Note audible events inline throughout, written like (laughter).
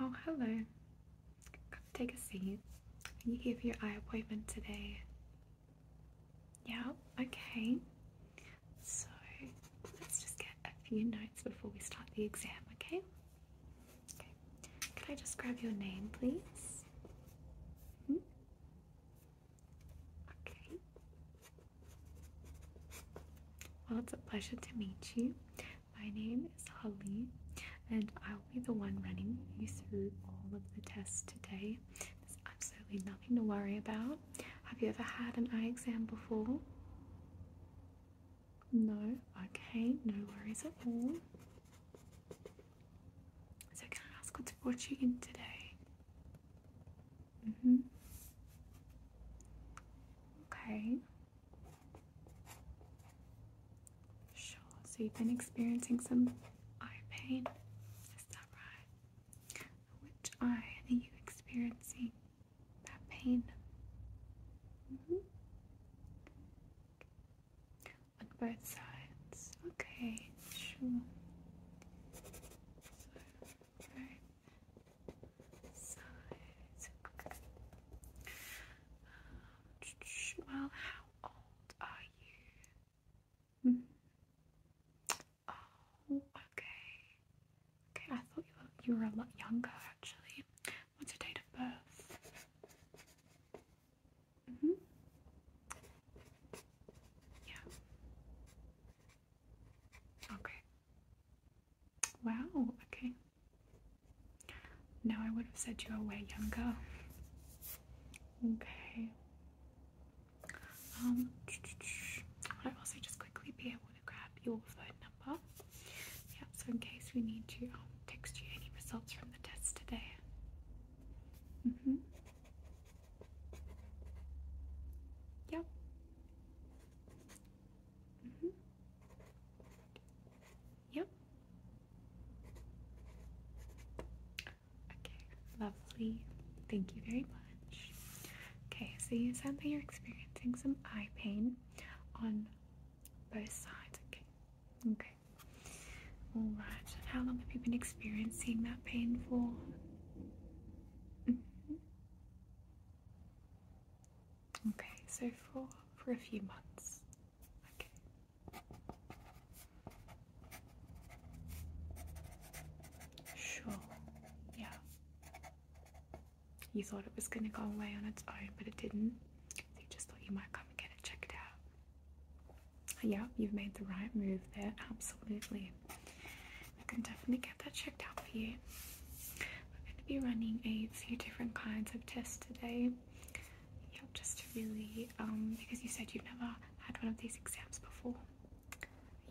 Oh, hello. take a seat. You gave your eye appointment today. Yeah, okay. So let's just get a few notes before we start the exam, okay? Okay. Can I just grab your name, please? Hmm? Okay. Well, it's a pleasure to meet you. My name is Holly, and I'll be the one running you through all of the tests today. There's absolutely nothing to worry about. Have you ever had an eye exam before? No, okay, no worries at all. So, can I ask what's brought you in today? Mm hmm. Okay. Sure, so you've been experiencing some eye pain, is that right? Which eye are you experiencing that pain? Mm hmm on both sides. Okay, sure. So, sides. well, how old are you? Mm. Oh, okay. Okay, I thought you were you were a lot younger actually. What's your date of birth? Mm -hmm. Yeah. Okay. Wow, okay. Now I would have said you way younger. Okay. Um I also just quickly be able to grab your phone number. Yeah, so in case we need to um, text you any results from the test today. Mm hmm. Yep. Mm hmm. Yep. Okay, lovely. Thank you very much. Okay, so you said that you're experiencing some eye pain on both sides. Okay. Okay. All right. how long have you been experiencing that pain for? Mm-hmm. Okay. So for for a few months. Okay. Sure. Yeah. You thought it was going to go away on its own, but it didn't. They just thought you might come and get it checked out. Yeah, you've made the right move there, absolutely. I can definitely get that checked out for you. We're going to be running a few different kinds of tests today. Yeah, just to really, um, because you said you've never had one of these exams before.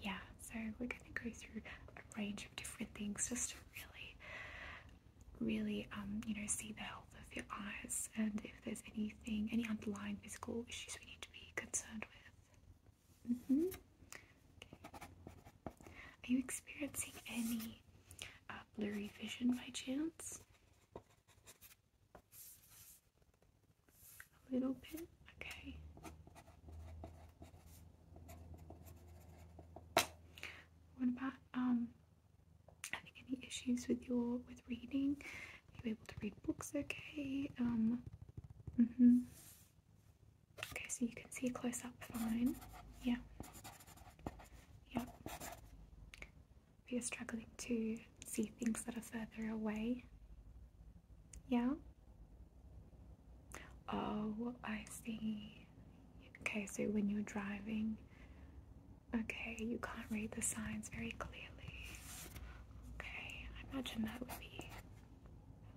Yeah, so we're going to go through a range of different things just to really really, um, you know, see the health of your eyes and if there's anything, any underlying physical issues we need to be concerned with. Mm-hmm. Are you experiencing any uh, blurry vision by chance? A little bit, okay. What about um having any issues with your with reading? you able to read books okay? Um mm-hmm. Okay, so you can see close up fine. Yeah. Yeah. If you're struggling to see things that are further away. Yeah? Oh, I see. Okay, so when you're driving, Okay, you can't read the signs very clearly. Okay, I imagine that would be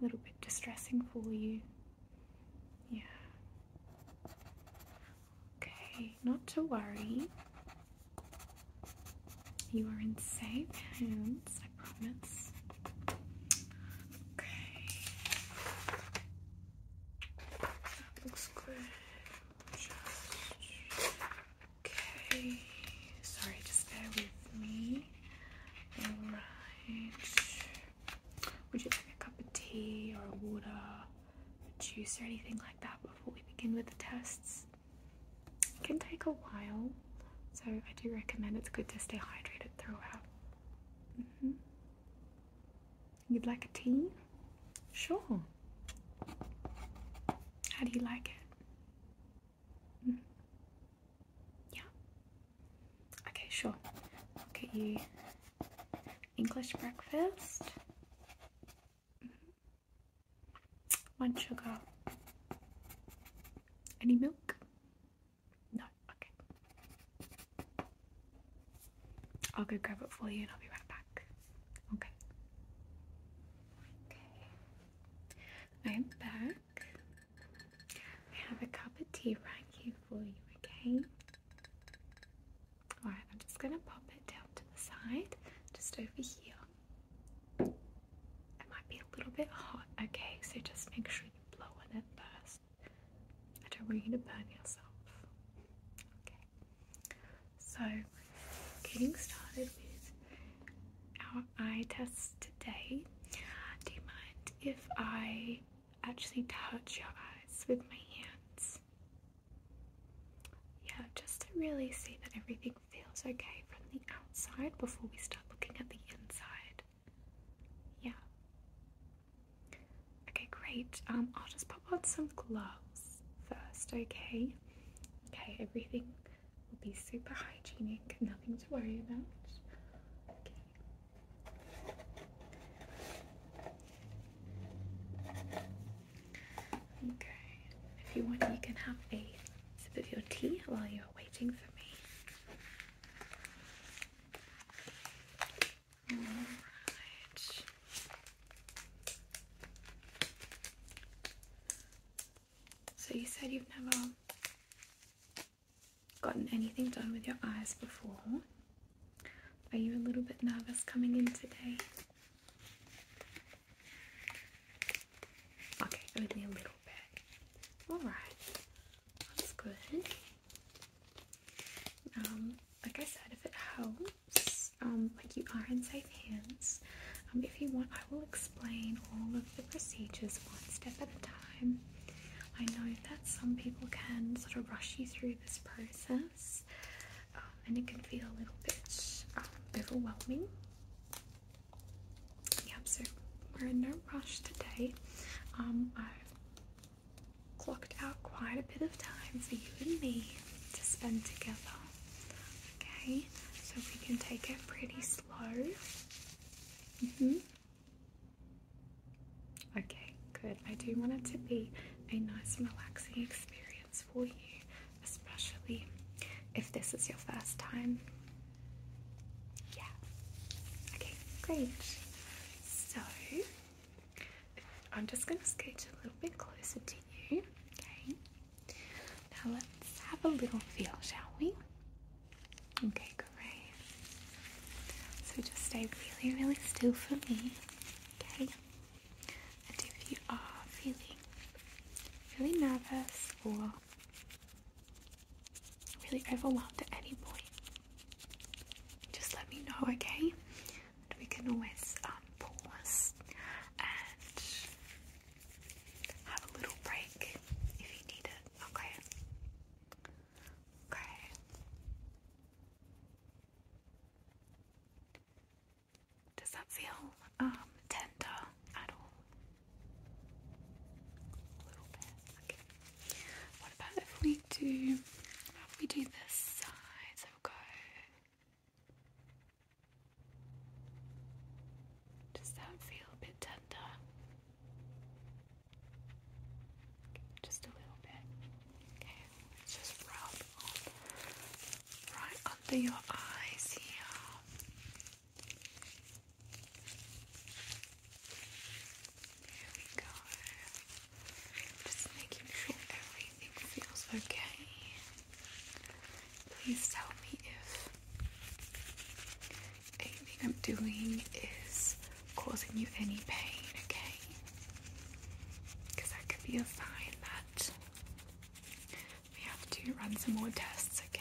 a little bit distressing for you. Yeah. Okay, not to worry. You are in safe hands, I promise. Okay. looks good okay. Sorry, just bear with me. Alright. Would you like a cup of tea or water, or juice or anything like that before we begin with the tests? It can take a while, so I do recommend it's good to stay hydrated throughout. Mm-hmm. You'd like a tea? Sure. How do you like it? Mm. Yeah. Okay, sure. I'll get you English breakfast. Mm-hmm. One sugar. Any milk? No, okay. I'll go grab it for you and I'll be right back. Okay. Okay. I am back. I have a cup of tea right here for you, okay? Alright, I'm just gonna pop it down to the side, just over here. It might be a little bit hot, okay? So just make sure you blow on it first. I don't want you to burn yourself. Okay. So, getting started with our eye test today. Do you mind if I actually touch your eyes with my hands? Yeah, just to really see that everything feels okay from the outside before we start looking at the inside. Yeah. Okay, great. Um, I'll just pop on some gloves first, okay? Okay, everything will be super hygienic, nothing to worry about. Okay. If you want, you can have a sip of your tea while you're waiting for me. So you said you've never gotten anything done with your eyes before. Are you a little bit nervous coming in today? Okay, only a little bit. Alright, that's good. Um, like I said, if it helps, um, like you are in safe hands. Um, if you want, I will explain all of the procedures one step at a time. I know that some people can sort of rush you through this process um, and it can feel a little bit overwhelming. Yep, so we're in no rush today. i clocked out quite a bit of time for you and me to spend together. Okay, so we can take it pretty slow. hmm Okay, good. I do want it to be a nice relaxing experience for you, especially if this is your first time. Yeah. Okay, great. So I'm just going to scoot a little bit closer to you. Okay. Now let's have a little feel, shall we? Okay, great. So just stay really, really still for me. Okay. And if you are feeling really nervous or really overwhelmed at any point, just let me know, okay? but we can always um, pause and have a little break if you need it, okay? Okay. Does that feel um, tender at all? A little bit. What about if we do? if we do this side? So does that feel a bit tender? Just a little bit. Okay, let's just rub right under your eyes here. There we go. Just making sure everything feels okay. Please tell me if anything I'm doing is causing you any pain, okay? Because that could be a sign that we have to run some more tests, okay?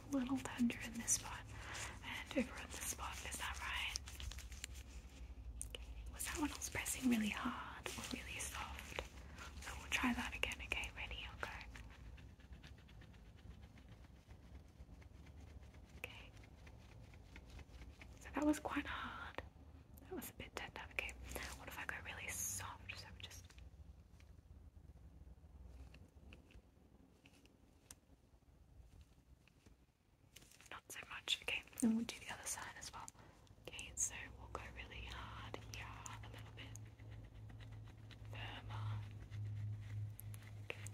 a little tender in this spot and over in this spot. Is that right? Was that one I pressing really hard or really soft? So we'll try that again. Okay, ready? i Okay. So that was quite hard. That was a bit tender. Okay. What if I go really soft? So just not so much. Okay, and we'll do the other side as well. Okay, so we'll go really hard here, a little bit firmer. Okay.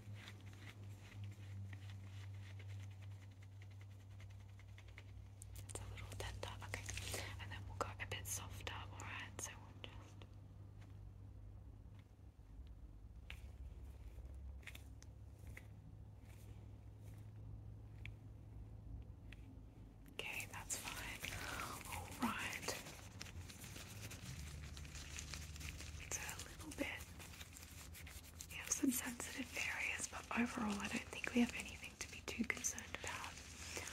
It's a little tender, okay. And then we'll go a bit softer, alright? So we'll just Okay, that's fine. All right. It's a little bit. We have some sensitive areas, but overall, I don't think we have anything to be too concerned about.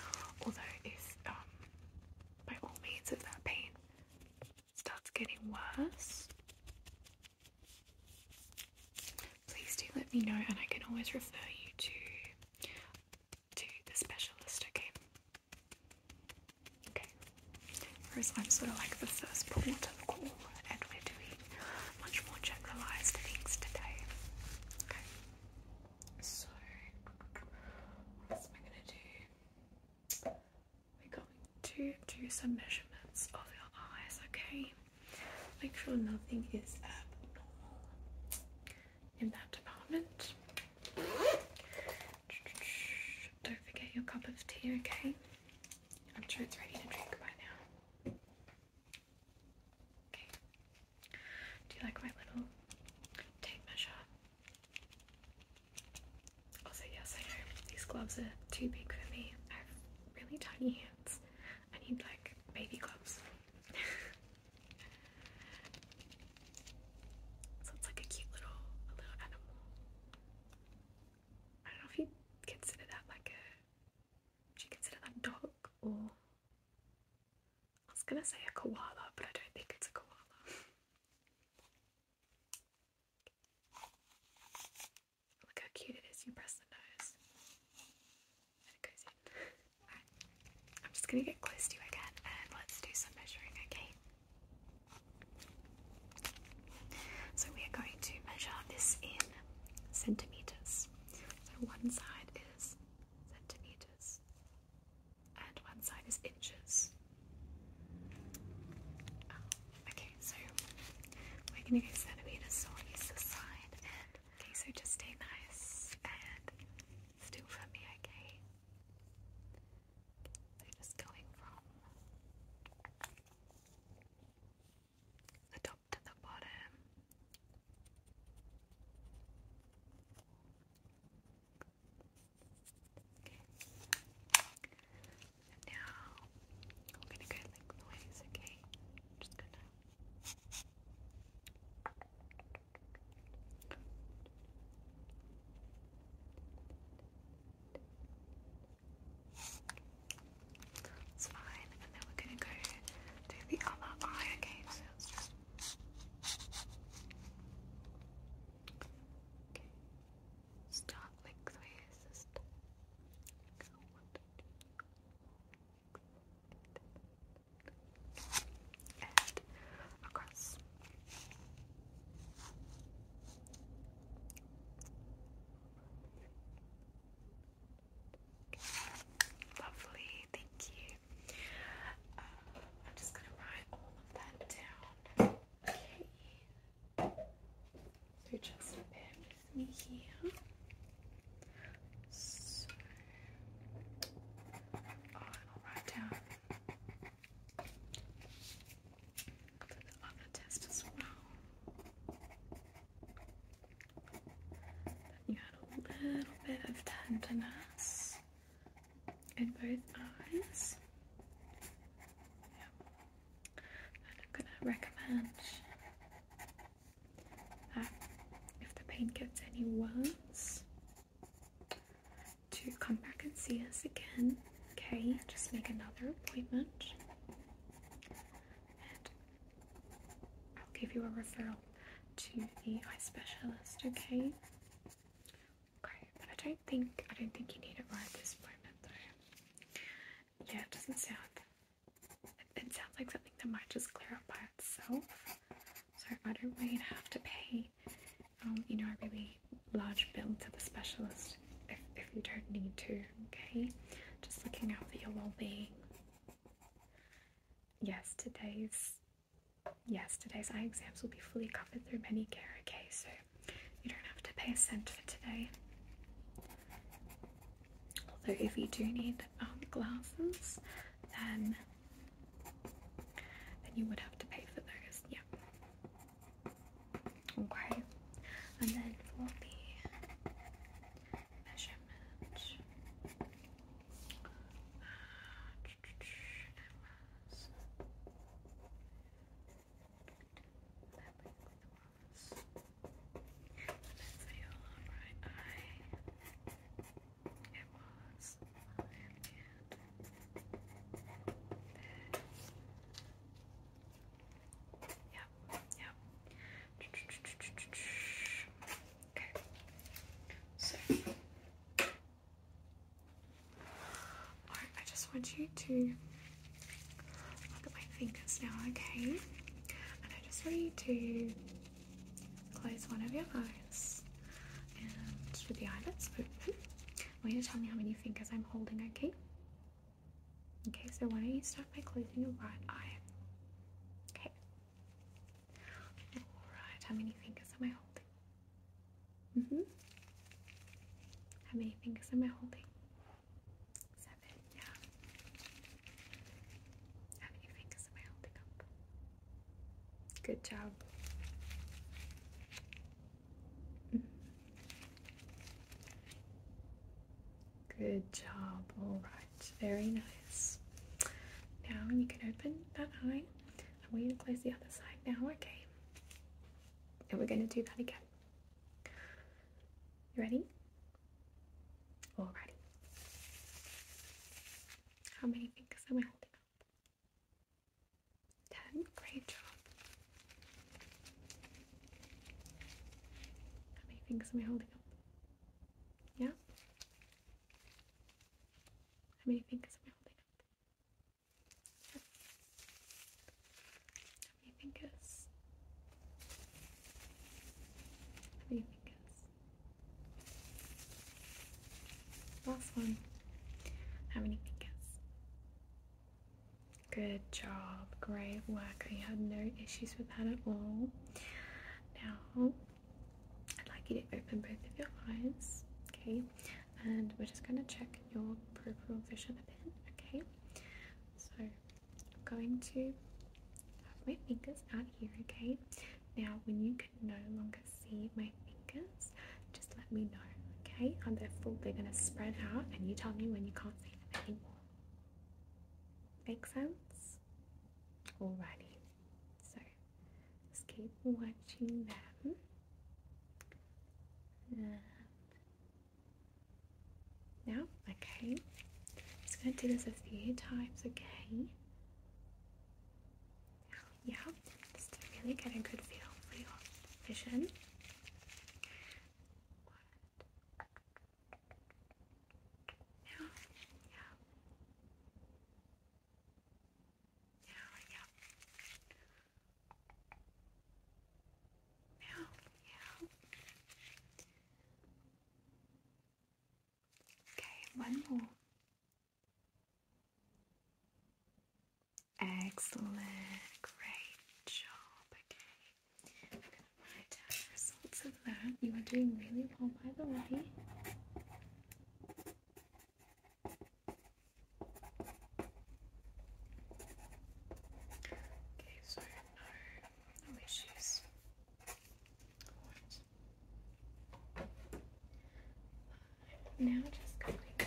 Although, if um, by all means, if that pain starts getting worse, please do let me know and I can always refer you to to the specialist, okay? Okay. Whereas I'm sort of like the first port of call and we're doing much more generalized things today. Okay. So what am I gonna do? we're going to do some measurements of your eyes, okay? Make sure nothing is abnormal in that department. Don't forget your cup of tea, okay? I'm sure it's ready to drink by now. Okay. Do you like my little tape measure? I'll say yes, I know these gloves are too big for me. I have really tiny hands. I need like baby gloves. (laughs) so it's like a cute little, little animal. I don't know if you consider that like a. Do you consider that dog or? I was gonna say a koala, but I don't think it's a koala. (laughs) Look how cute it is. You press the nose and it goes in. I'm just gonna get close to you again and let's do some measuring, okay? So we are going to measure this in centimeters. So one side is centimeters, and one side is inches. Oh, okay, so we're gonna go centimeters on either side, okay, so just stay nice and still for me, okay? So just going from the top to the bottom. And now we're gonna go like the okay? just gonna that's fine, and then we're gonna go do the other eye, okay? okay. Start like the way I across. Lovely, thank you. Uh, I'm just gonna write all of that down. Okay. So just bear with here. So I'll write down the other test as well. you had a little bit of tenderness in both eyes. I'm going to recommend that if the pain gets any worse, to come back and see us again. Okay, just make another appointment. And I'll give you a referral to the eye specialist, okay? Okay, but I don't think I don't think you need it right at this moment though. Yeah, it doesn't sound it, sounds like something that might just clear up by itself. So I don't want you to have to pay um, you know, a really large bill to the specialist if, if you don't need to, okay? Just looking out for your well being. Yes, today's Yes, today's eye exams will be fully covered through Medicare, okay? So you don't have to pay a cent for today. Although, if you do need um, glasses, then then you would have to pay for those, yeah. Okay, and then for the measurement, uh, (tsk) That brings It was Yep, yep. Okay. So I just want you to look at my fingers now, okay? And I just want you to close one of your eyes and with the eyelids open. I want you to tell me how many fingers I'm holding, okay? Okay, so why don't you start by closing your right eye? Okay. Alright, how many fingers am I holding? Mm-hmm. How many fingers am I holding? Seven, yeah. How many fingers am I holding up? Good job. Mm-hmm. Good job. All right. Very nice. Now you can open that eye. I want you to close the other side now, okay? And we're going to do that again. You ready? Alrighty. How many fingers am I holding up? Ten. Great job. How many fingers am I holding up? Yeah? How many fingers am I holding up? How many fingers? How many fingers? Last one. How many fingers? Good job. Great work. You had no issues with that at all. Now, I'd like you to open both of your eyes. Okay and we're just going to check your peripheral vision a bit, okay? So I'm going to have my fingers out here, okay? Now, when you can no longer see my fingers, just let me know, okay? On their foot, they're going to spread out, and you tell me when you can't see them anymore. Make sense? Alrighty. So just keep watching them. And now, okay, just going to do this a few times, okay? Yeah, just to really get a good feel for your vision. Yeah, yeah yeah. Meow, meow. Okay, one more. Excellent, great job. Okay, results of that. You are doing really well, by the way. Okay, so no, issues. Now just going to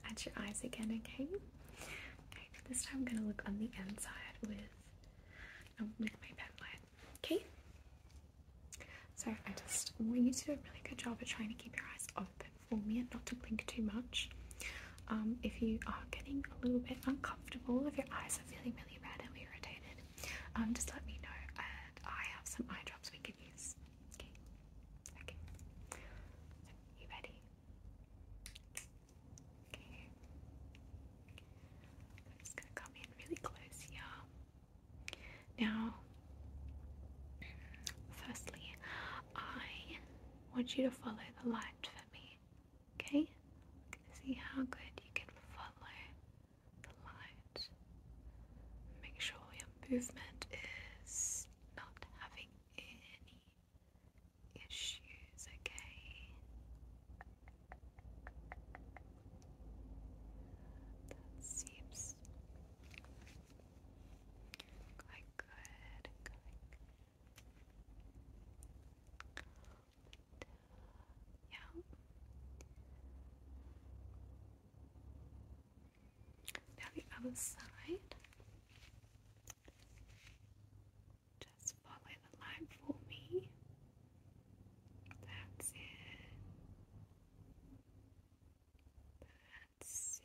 have your eyes again, okay? Okay, this time I'm going to look on the inside with with my pen Okay? So I just want you to do a really good job of trying to keep your eyes open for me and not to blink too much. Um, if you are getting a little bit uncomfortable, if your eyes are feeling really red and irritated, um, just let me know and I have some eye drops we can use. Okay? Okay. you ready? I'm just gonna come in really close here. Now, firstly, I want you to follow the light for me. Okay? See how good you can follow the light. Make sure your movement is not having any issues, okay? That seems quite good. yeah. Now the other side. Just follow the light for me. That's it. That's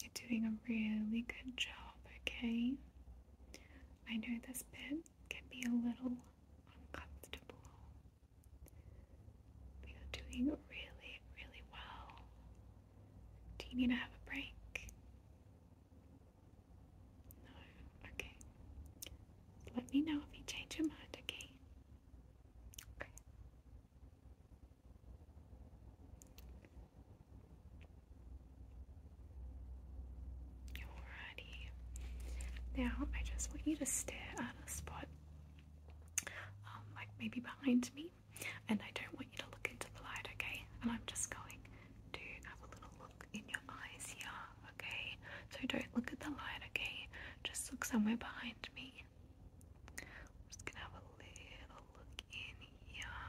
it. You're doing a really good job, okay? I know this bit can be a little uncomfortable. you're doing really, really well. Do you need to have a break? No. Okay. Let me know if you change your mind, okay? Okay. Alrighty. Now I just want you to stare at a spot, um, like maybe behind me, and I don't want you to look into the light, okay? And I'm just going to have a little in your eyes yeah. okay? So don't look at the light, okay? Just look somewhere behind me. just gonna have a little look in here.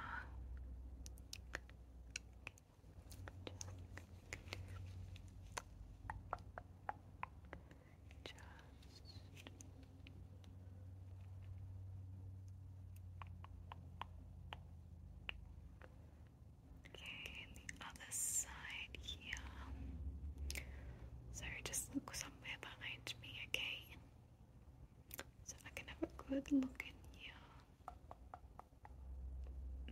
Just Okay, the other side here. So just look somewhere behind me, okay? So I can have a good look in here. Mm-hmm.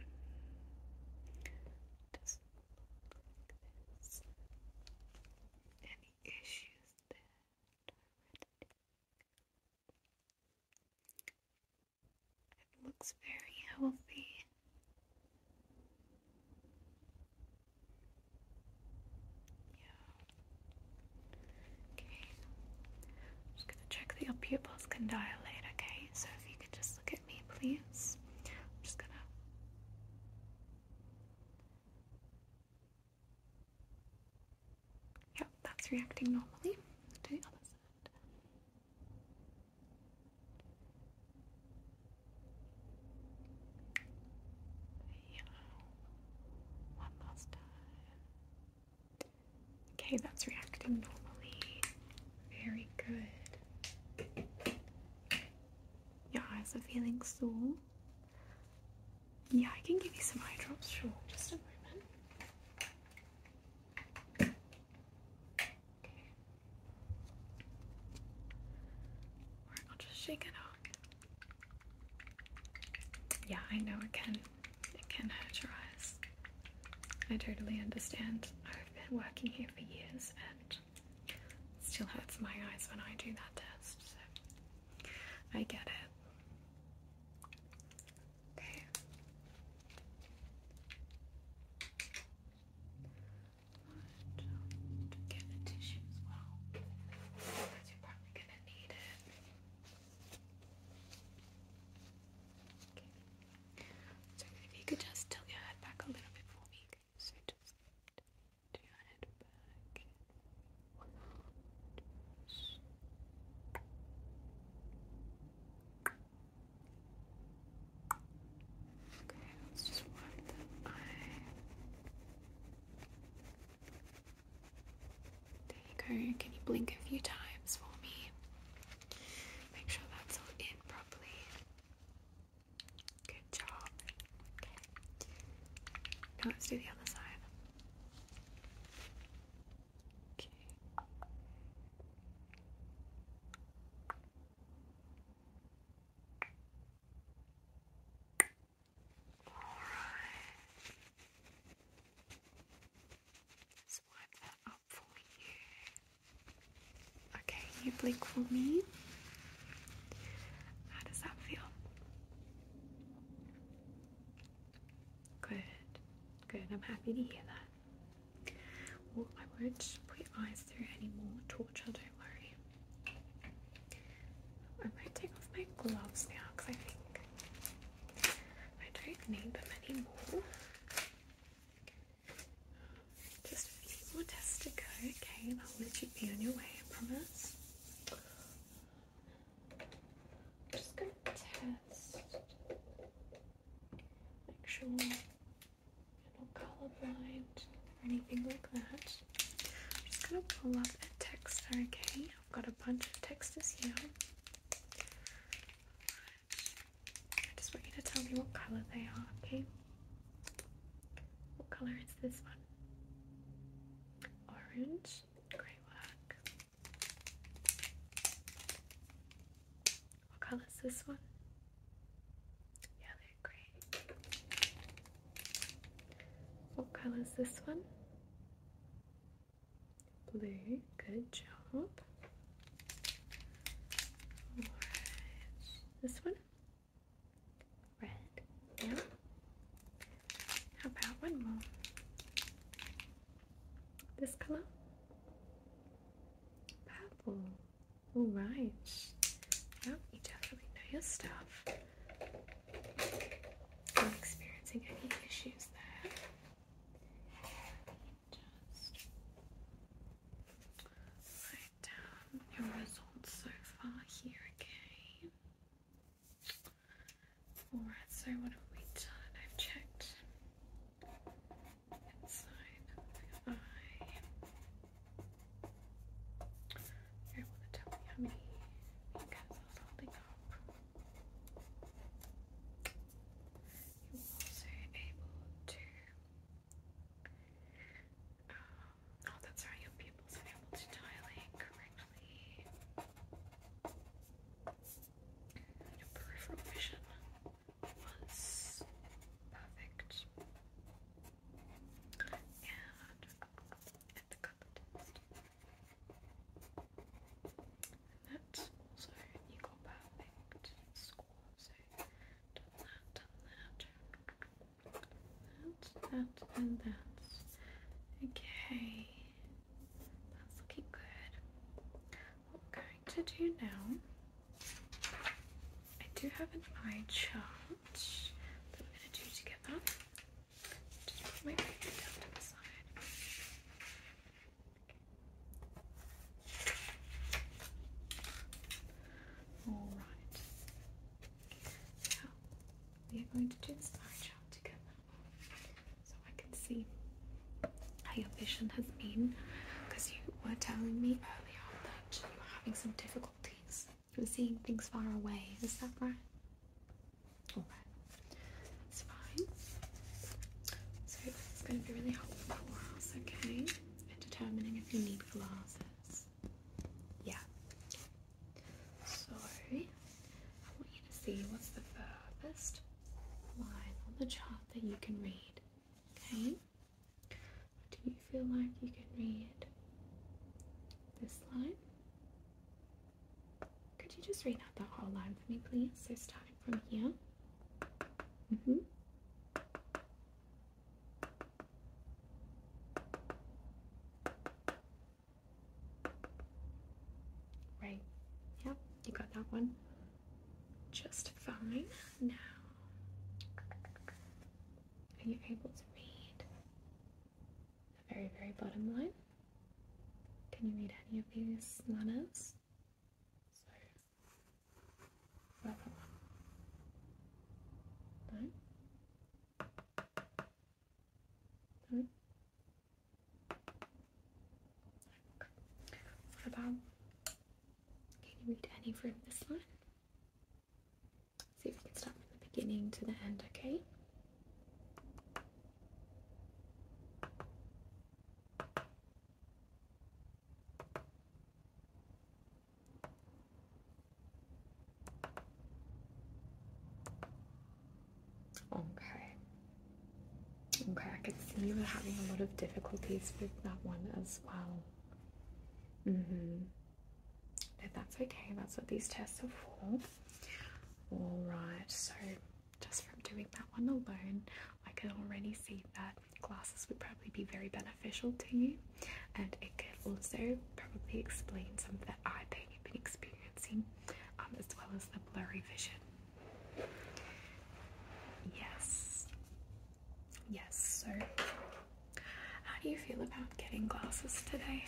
Just look like this. Any issues there? It looks very healthy. Yeah. Okay. I'm just gonna check that your pupils can dilate, okay? So if you could just look at me, please. I'm just gonna Yep, that's reacting normally to the other side. Yeah. One last time. Okay, that's reacting normally. Very good. Your eyes are feeling sore. Yeah, I can give you some eye drops, sure. Just a moment. Okay. I'll just shake it off. Yeah, I know it can it can hurt your eyes. I totally understand. I've been working here for years and it still hurts my eyes when I do that test, so I get it. Okay. get the tissue as you're probably gonna need it. So if you could just tilt your head back a little bit for me, so just do your head back. Okay, let's just wipe the eye. There you go. Can you blink a few times for me? Make sure that's all in properly. Good job. Okay. Now let's do the other side. Okay. All right. Let's wipe that up for you. Okay, you blink for me. How does that feel? Good, good. I'm happy to hear that. Well, I won't put your eyes through anymore torture, don't worry. I might take off my gloves now because I think I don't need them anymore. Just a few more tests to go, okay? And I'll let you be on your way, I promise. I'm just gonna test. Make sure you're not colorblind or anything like that. I'm just gonna pull up a text, okay? I've got a bunch of textures here. I just want you to tell me what color they are, okay? What color is this one? Orange, grey work. What color is this one? Yeah, they What color is this one? Blue. Good job. Orange. This one? Red. Yeah. How about one more? this color purple all right well you definitely know your stuff not experiencing any issues there write down your results so far here again Alright, so what have we done? I've checked inside the eye. want to tell me how many fingers I was holding up. You were also able to. Um, oh, that's right, your are able to dilate correctly. Your peripheral vision was perfect. And at the cup And that's also you got perfect score. So done that, done that. That, that, and that. Okay. That's looking good. I'm going to do now, I do have an eye chart that we're going to do together. Just put my down to the side. Alright. Now, we are going to do this eye chart together so I can see how your vision has been because you were telling me earlier that you were having some difficulties with seeing things far away. Is that right? Alright, that's fine. So it's going to be really helpful for us, okay? In determining if you need glasses. Yeah. Sorry see what's the furthest line on the chart that you can read. Okay? Do you feel like you can read this line? Could you just read out the whole line for me, please? So, starting from here. Mm hmm. Right. Yep, you got that one just fine. Now, are you able to read the very, very bottom line? Can you read any of these letters? So, what what about? Can you read any from this one? See if we can start from the beginning to the end, okay? Okay. Okay, I can see you are having a lot of difficulties with that one as well. mm that's okay. That's what these tests are for. Alright, so just from doing that one alone, I can already see that glasses would probably be very beneficial to you, and it could also probably explain some of the eye pain you've been experiencing, um, as well as the blurry vision. Yes. Yes, sir. How do you feel about getting glasses today?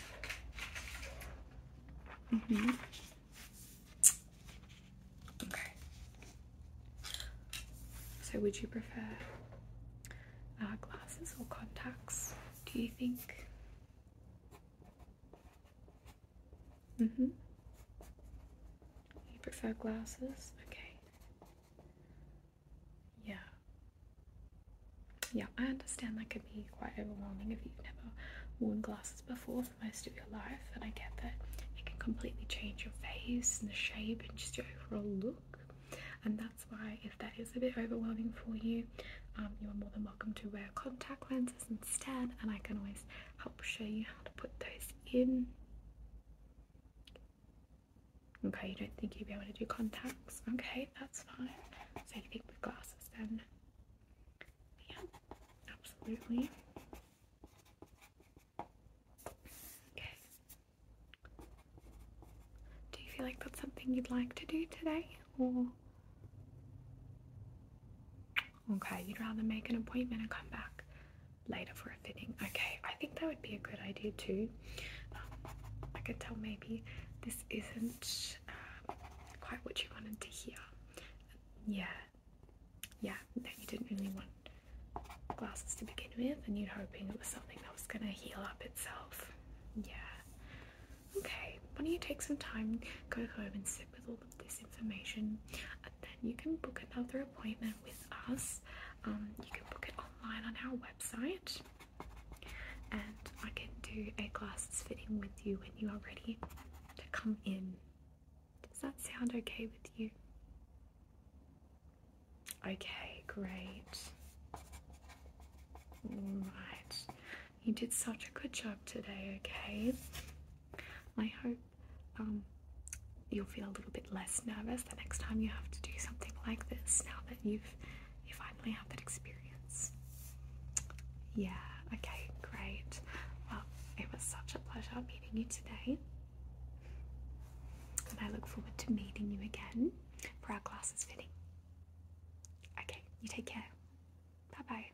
Mm-hmm. Okay. So, would you prefer uh, glasses or contacts? Do you think? Mm-hmm. You prefer glasses? Okay. Yeah. Yeah, I understand that could be quite overwhelming if you've never worn glasses before for most of your life, and I get that it can completely change your face and the shape and just your overall look. And that's why, if that is a bit overwhelming for you, um, you are more than welcome to wear contact lenses instead, and I can always help show you how to put those in. Okay, you don't think you'd be able to do contacts? Okay, that's fine. So you think with glasses then? Yeah, absolutely. Okay. Do you feel like that's something you'd like to do today? Or Okay, you'd rather make an appointment and come back later for a fitting. Okay, I think that would be a good idea too. Um, I could tell maybe this isn't um, quite what you wanted to hear. Yeah, yeah, no, you didn't really want glasses to begin with, and you're hoping it was something that was going to heal up itself. Yeah. Okay, why don't you take some time, go home and sit with all of this information, then you can book another appointment with us. Um, you can book it online on our website, and I can do a glasses fitting with you when you are ready to come in. Does that sound okay with you? Okay, great. Alright, you did such a good job today, okay? I hope um, you'll feel a little bit less nervous the next time you have to do something like this. Now that you've you finally have that experience. Yeah. Okay. Great. Well, it was such a pleasure meeting you today, and I look forward to meeting you again for our classes fitting. Okay. You take care. Bye bye.